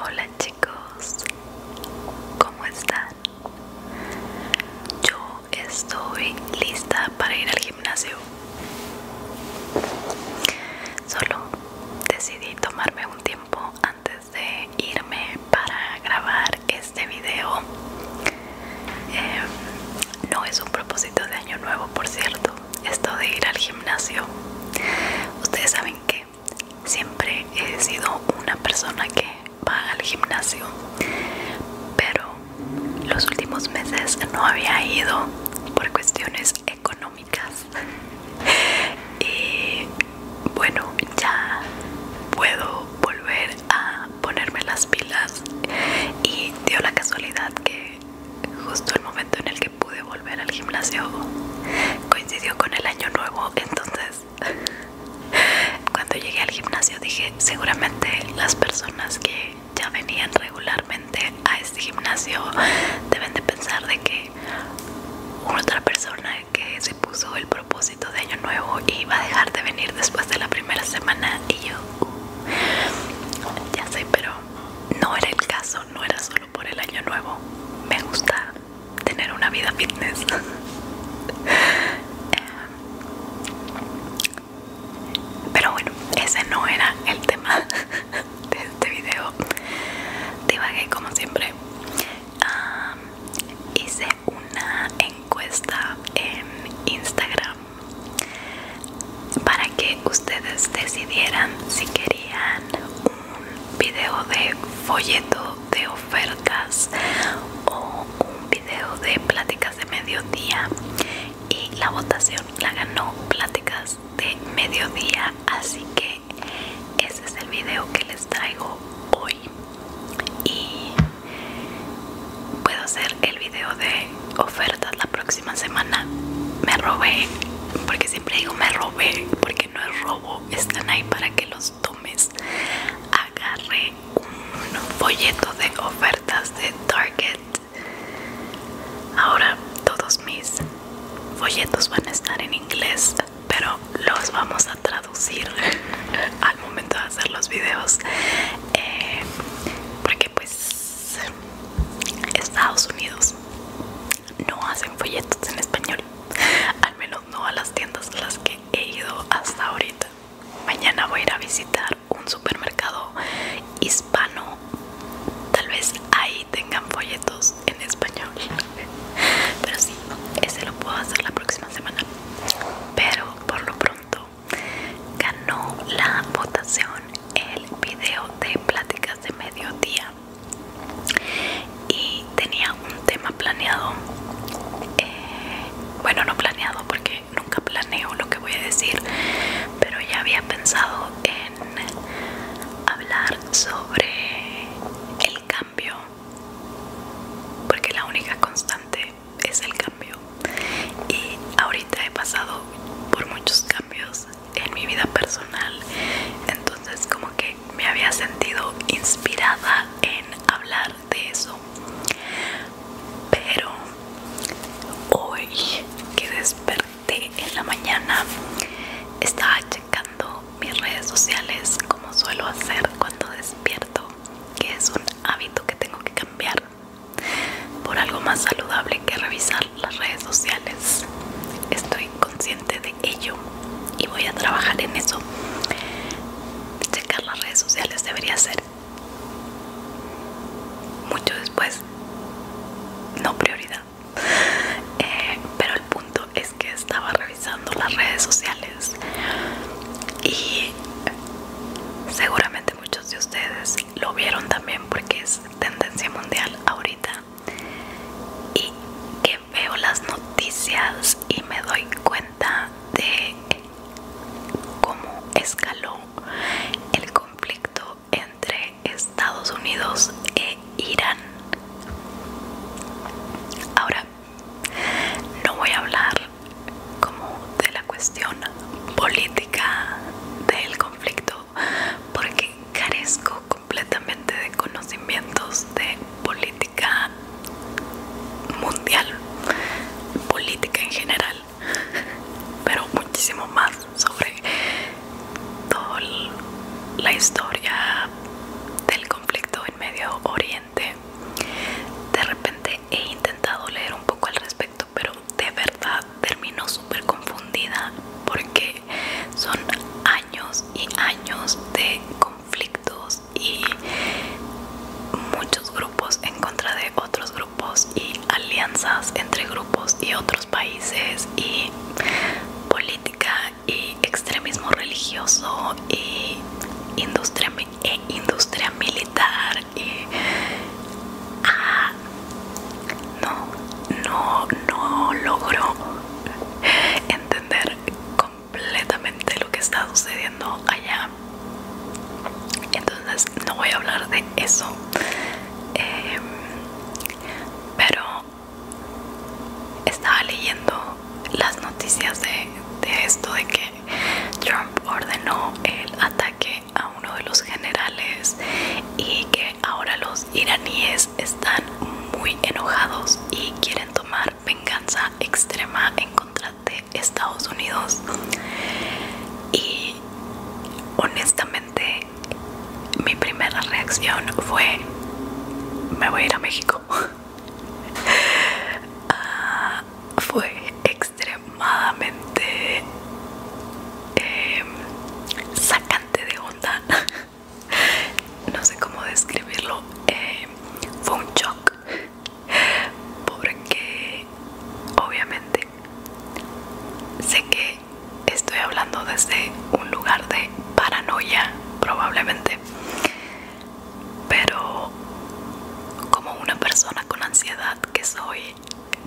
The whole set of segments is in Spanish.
Hola chicos, ¿cómo están? Yo estoy lista para ir al gimnasio. Solo decidí tomarme un tiempo antes de irme para grabar este video em, no es un propósito de año nuevo por cierto esto de ir al gimnasio ustedes saben que siempre he sido una persona que va al gimnasio pero los últimos meses no había ido por cuestiones económicas y bueno, ya puedo volver a ponerme las pilas y dio la casualidad que justo el momento en el que pude volver al gimnasio coincidió con el año nuevo, entonces cuando llegué al gimnasio dije seguramente las personas que ya venían regularmente a este gimnasio deben de pensar de que una otra persona que se puso el propósito de año nuevo y iba a dejar de venir después de la primera semana y yo ya sé pero no era el caso no era solo por el año nuevo me gusta tener una vida fitness eh, pero bueno ese no era el tema de este video divagué como siempre hice una encuesta en Instagram para que ustedes decidieran si querían un video de folleto de ofertas o un video de pláticas de mediodía y la votación la ganó pláticas de mediodía así que ese es el video que les traigo hoy y puedo hacer el video de ofertas la próxima semana me robé porque siempre digo me robé porque no es robo están ahí para que los tomes agarré un folleto de ofertas de target ahora todos mis folletos van a estar en inglés pero los vamos a traducir al momento de hacer los videos eh, porque pues Estados Unidos no hacen folletos en español al menos no a las tiendas a las que he ido hasta ahorita mañana voy a ir a visitar un supermercado hispano tal vez ahí tengan folletos en español pero sí, ese lo puedo hacer la próxima semana. Pero por lo pronto ganó la votación el video de pláticas de mediodía y tenía un tema planeado. Eh, bueno, no planeado porque nunca planeo lo que voy a decir, pero ya había pensado en hablar sobre el cambio, porque la única constante es el cambio. Y ahorita he pasado por muchos cambios en mi vida personal, entonces como que me había sentido inspirada en hablar de eso. Pero hoy que desperté en la mañana, estaba checando mis redes sociales como suelo hacer cuando despierto, que es un hábito que tengo que cambiar por algo más saludable que revisar las redes sociales. Estoy consciente de ello y voy a trabajar en eso. Checar las redes sociales debería ser mucho después, no prioridad. Eh, pero el punto es que estaba revisando las redes sociales y seguramente muchos de ustedes lo vieron también porque es tendencia mundial ahorita y que veo las noticias y me doy cuenta de cómo escaló el conflicto entre Estados Unidos e irán. Ahora, no voy a hablar como de la cuestión política del conflicto porque carezco completamente de conocimientos de política mundial, política en general, pero muchísimo más sobre toda la historia del conflicto en Medio Oriente. De repente he intentado leer un poco al respecto, pero de verdad termino súper confundida porque son años y años de conflictos y muchos grupos en contra de otros grupos y alianzas entre grupos y otros países y política y extremismo religioso y industria, e industria militar y, ah, no, no, no logro entender completamente lo que está sucediendo allá entonces no voy a hablar de eso em, pero estaba leyendo las noticias de, esto de que Trump ordenó el ataque a uno de los generales y que ahora los iraníes están muy enojados y quieren tomar venganza extrema en contra de Estados Unidos y honestamente mi primera reacción fue me voy a ir a México ah, fue extremadamente em, sacante de onda no sé cómo describirlo em, fue un shock porque obviamente sé que estoy hablando desde un lugar de paranoia probablemente pero como una persona con ansiedad que soy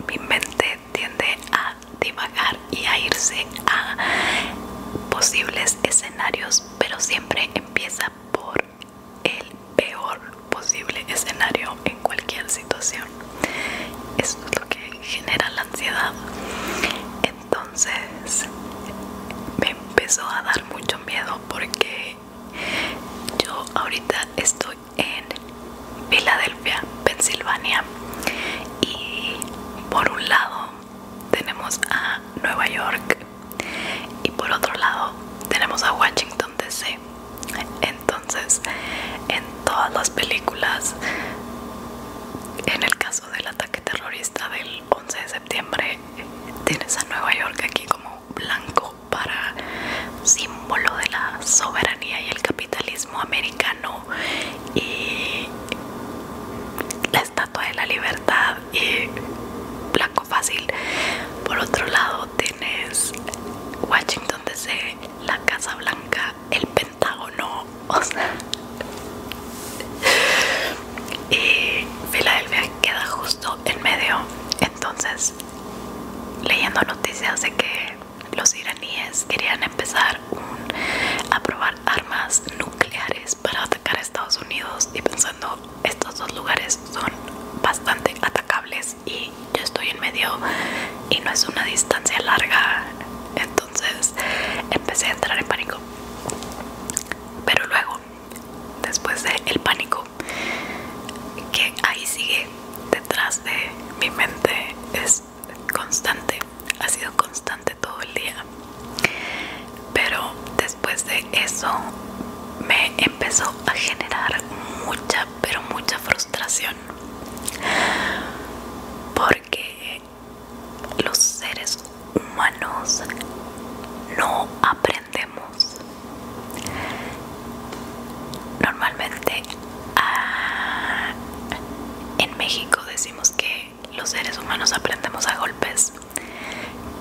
mi mente tiende a divagar y a irse a posibles escenarios pero siempre empieza por el peor posible escenario en cualquier situación eso es lo que genera la ansiedad entonces me empezó a dar mucho miedo porque yo ahorita estoy en Filadelfia, Pensilvania y por un lado tenemos a Nueva York y por otro lado tenemos a Washington DC entonces en todas las películas en el caso del ataque terrorista del 11 de septiembre, tienes a Nueva York aquí como blanco para símbolo de la soberanía y el capitalismo americano y la estatua de la libertad y blanco fácil. Por otro lado, tienes Washington DC, la Casa Blanca, el no o sea. Y Filadelfia queda justo en medio. Entonces, leyendo noticias de que los iraníes querían empezar a probar armas nucleares para atacar a Estados Unidos y pensando estos dos lugares son bastante atacables y yo estoy en medio y no es una distancia larga entonces empecé a entrar en pánico pero luego después del pánico que ahí sigue detrás de mi mente es constante ha sido constante todo el día pero después de eso me empezó a generar mucha pero mucha frustración porque los seres humanos no aprendemos normalmente ah, en México decimos que los seres humanos aprendemos a golpes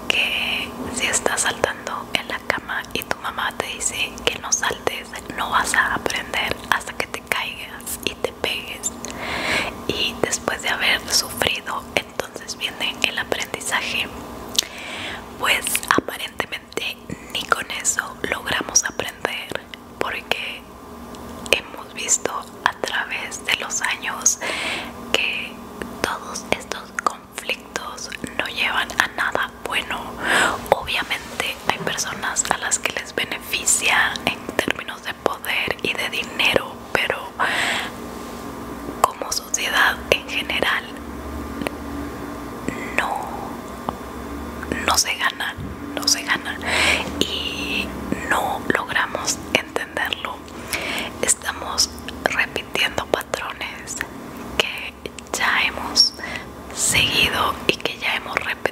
que si estás saltando en la cama y tu mamá te dice que no saltes no vas a aprender hasta que te caigas y te pegues y después de haber sufrido entonces viene el aprendizaje pues aparentemente ni con eso logramos aprender porque hemos visto a través de los años que todos estos conflictos no llevan a nada bueno obviamente hay personas a las que les beneficia en términos de poder y de dinero, pero como sociedad en general no, no se gana, no se gana y no logramos entenderlo. Estamos repitiendo patrones que ya hemos seguido y que ya hemos repetido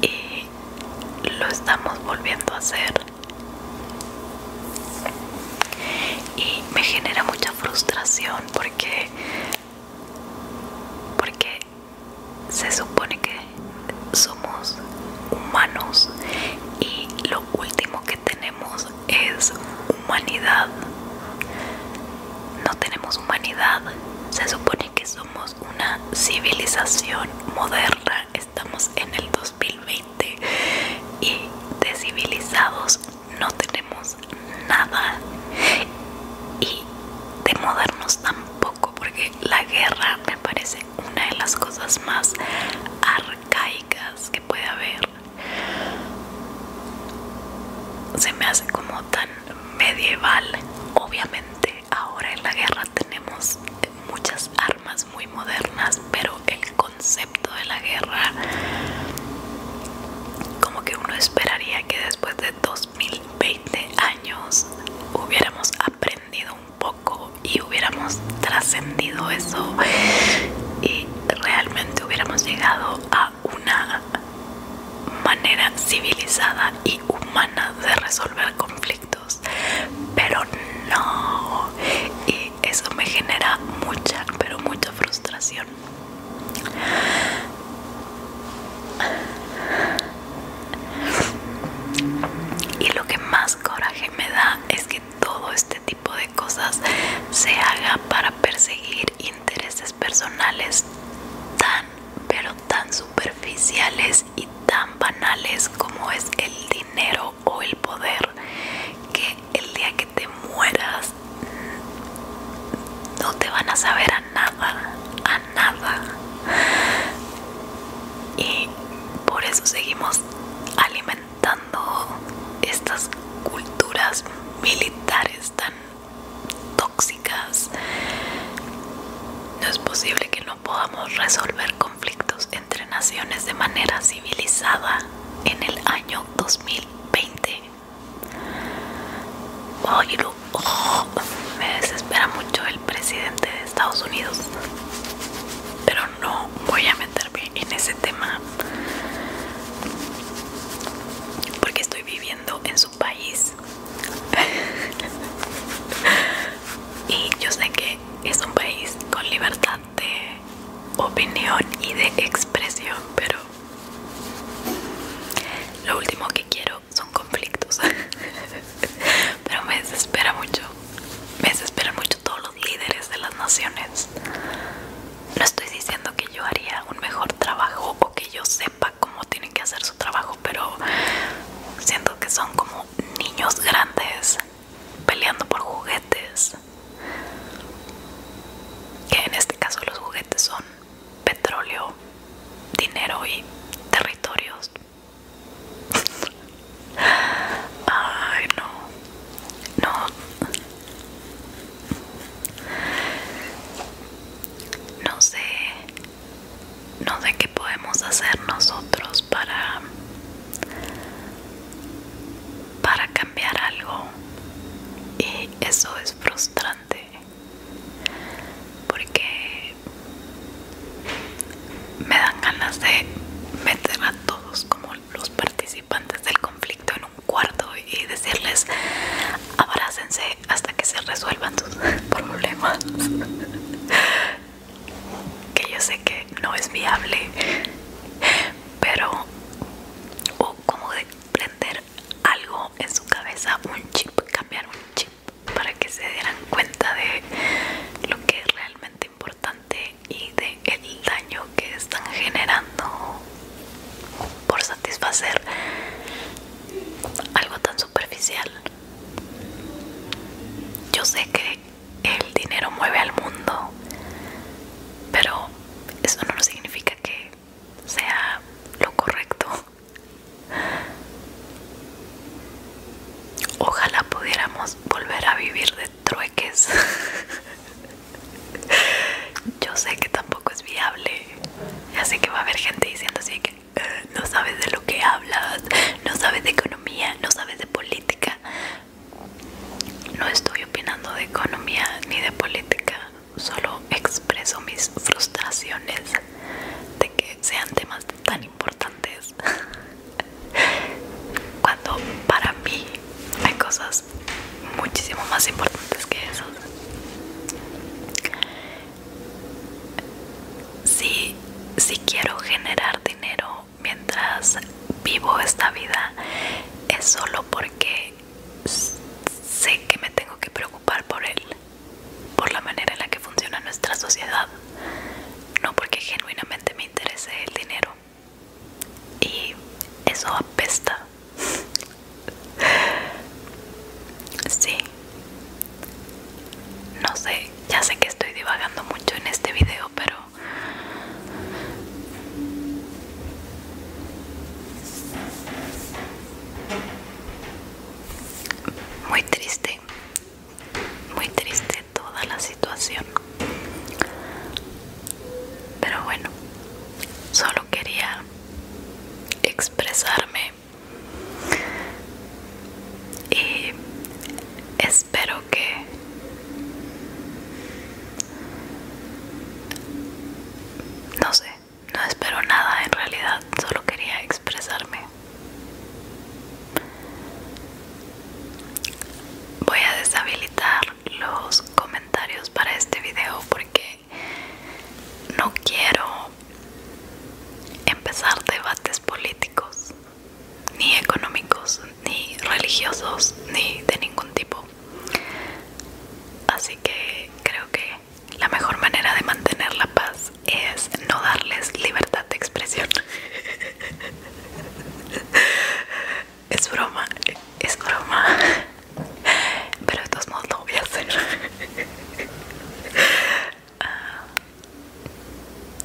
y lo estamos volviendo a hacer y me genera mucha frustración porque porque se supone que somos humanos y lo último que tenemos es humanidad no tenemos humanidad. Se supone que somos una civilización moderna. Estamos en el 2020 y de civilizados no tenemos nada. Y de modernos tampoco, porque la guerra me parece una de las cosas más arcaicas que puede haber. Se me hace como tan medieval. Obviamente ahora en la guerra tenemos muchas armas muy modernas, pero el concepto de la guerra como que uno esperaría que después de 2020 años hubiéramos aprendido un poco y hubiéramos trascendido eso y realmente hubiéramos llegado a una manera civilizada y humana de resolver conflictos pero no y eso me genera mucha pero mucha frustración y lo que más coraje me da es que todo este tipo de cosas se haga para perseguir intereses personales tan, pero tan superficiales y tan banales como es el dinero o el poder, que el día que te mueras no te van a saber a nada, a nada. Y por eso seguimos alimentando estas culturas militares tan tóxicas. No es posible que no podamos resolver conflictos entre naciones de manera civilizada en el año 2020. me desespera mucho el presidente de Estados Unidos, pero no voy a meterme en ese tema porque estoy viviendo en su país y yo sé que es un país con libertad de opinión y de expresión pero lo último que quiero son conflictos pero me desespera mucho me desespera mucho todos los líderes de las naciones no estoy diciendo que yo haría un mejor trabajo o que yo sepa cómo tienen que hacer su trabajo, pero siento que son como niños grandes peleando por juguetes. Que en este caso los juguetes son petróleo, dinero y territorios. Ay, no. No. No sé, no sé qué podemos hacer nosotros para para cambiar algo y eso es frustrante porque me dan ganas de meter a todos como los participantes del conflicto en un cuarto y decirles abracense hasta que se resuelvan sus problemas que yo sé que no es viable pero o como de prender algo en su cabeza un chip cambiar un chip para que se dieran cuenta de lo que es realmente importante y de el daño que están generando por satisfacer algo tan superficial. Yo sé que el dinero mueve al mundo, pero eso no significa que sea lo correcto. Ojalá pudiéramos volver a vivir de trueques. Yo sé que tampoco es viable. Ya sé que va a haber gente diciendo así que eh, no sabes de lo que hablas, no sabes de economía, no sabes de política. No estoy opinando de economía ni de política, solo expreso mis frustraciones de que sean temas tan importantes. Cuando para mí hay cosas muchísimo más importantes que eso si, quiero generar dinero mientras vivo esta vida es solo porque sé que me tengo que preocupar por él por la manera en la que funciona nuestra sociedad no porque genuinamente me interese el dinero y eso apesta sí no sé ya sé que estoy divagando mucho en este video pero muy triste muy triste toda la situación pero bueno, solo quería expresarme y espero que no sé, no espero nada en realidad, solo quería expresarme. Voy a deshabilitar los comentarios para este video porque no quiero empezar debates políticos, ni económicos, ni religiosos, ni de ningún tipo. Así que creo que la mejor manera de mantener la paz es no darles libertad de expresión. es broma, es broma. Pero de todos modos lo voy a hacer. Ah,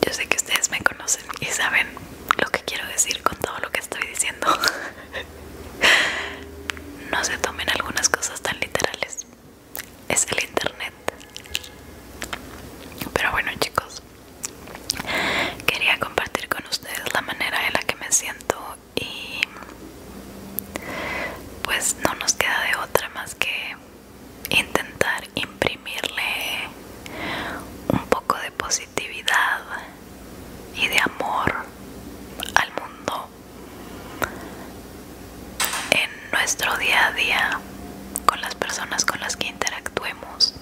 yo sé que ustedes me conocen y saben lo que quiero decir con todo lo que estoy diciendo. No se tomen algunas cosas tan literales. Es el internet. Pero bueno chicos, quería compartir con ustedes la manera en la que me siento y pues no nos queda de otra más que intentar imprimirle un poco de positividad y de amor al mundo en nuestro día a día con las personas con las que interactuemos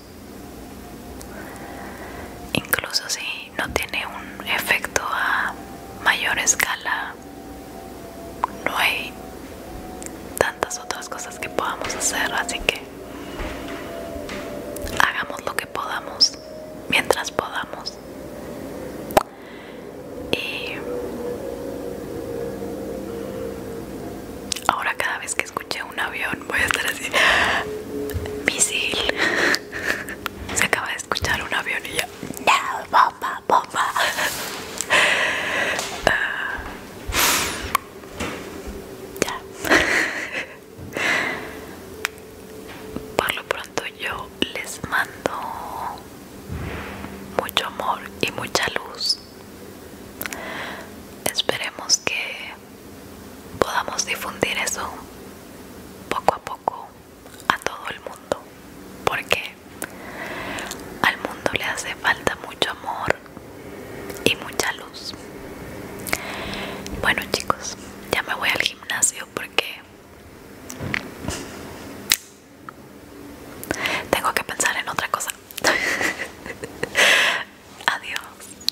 Incluso si no tiene un efecto a mayor escala, no hay tantas otras cosas que podamos hacer, así que hagamos lo que podamos mientras podamos. Y ahora cada vez que escucho un avión, voy a estar así. Misil. Se acaba de escuchar un avión y ya. No, bomba, ah. ya. Por lo pronto yo les mando mucho amor y mucha luz. Esperemos que podamos difundir eso poco a poco a todo el mundo porque al mundo le hace falta mucho amor y mucha luz bueno chicos ya me voy al gimnasio porque tengo que pensar en otra cosa adiós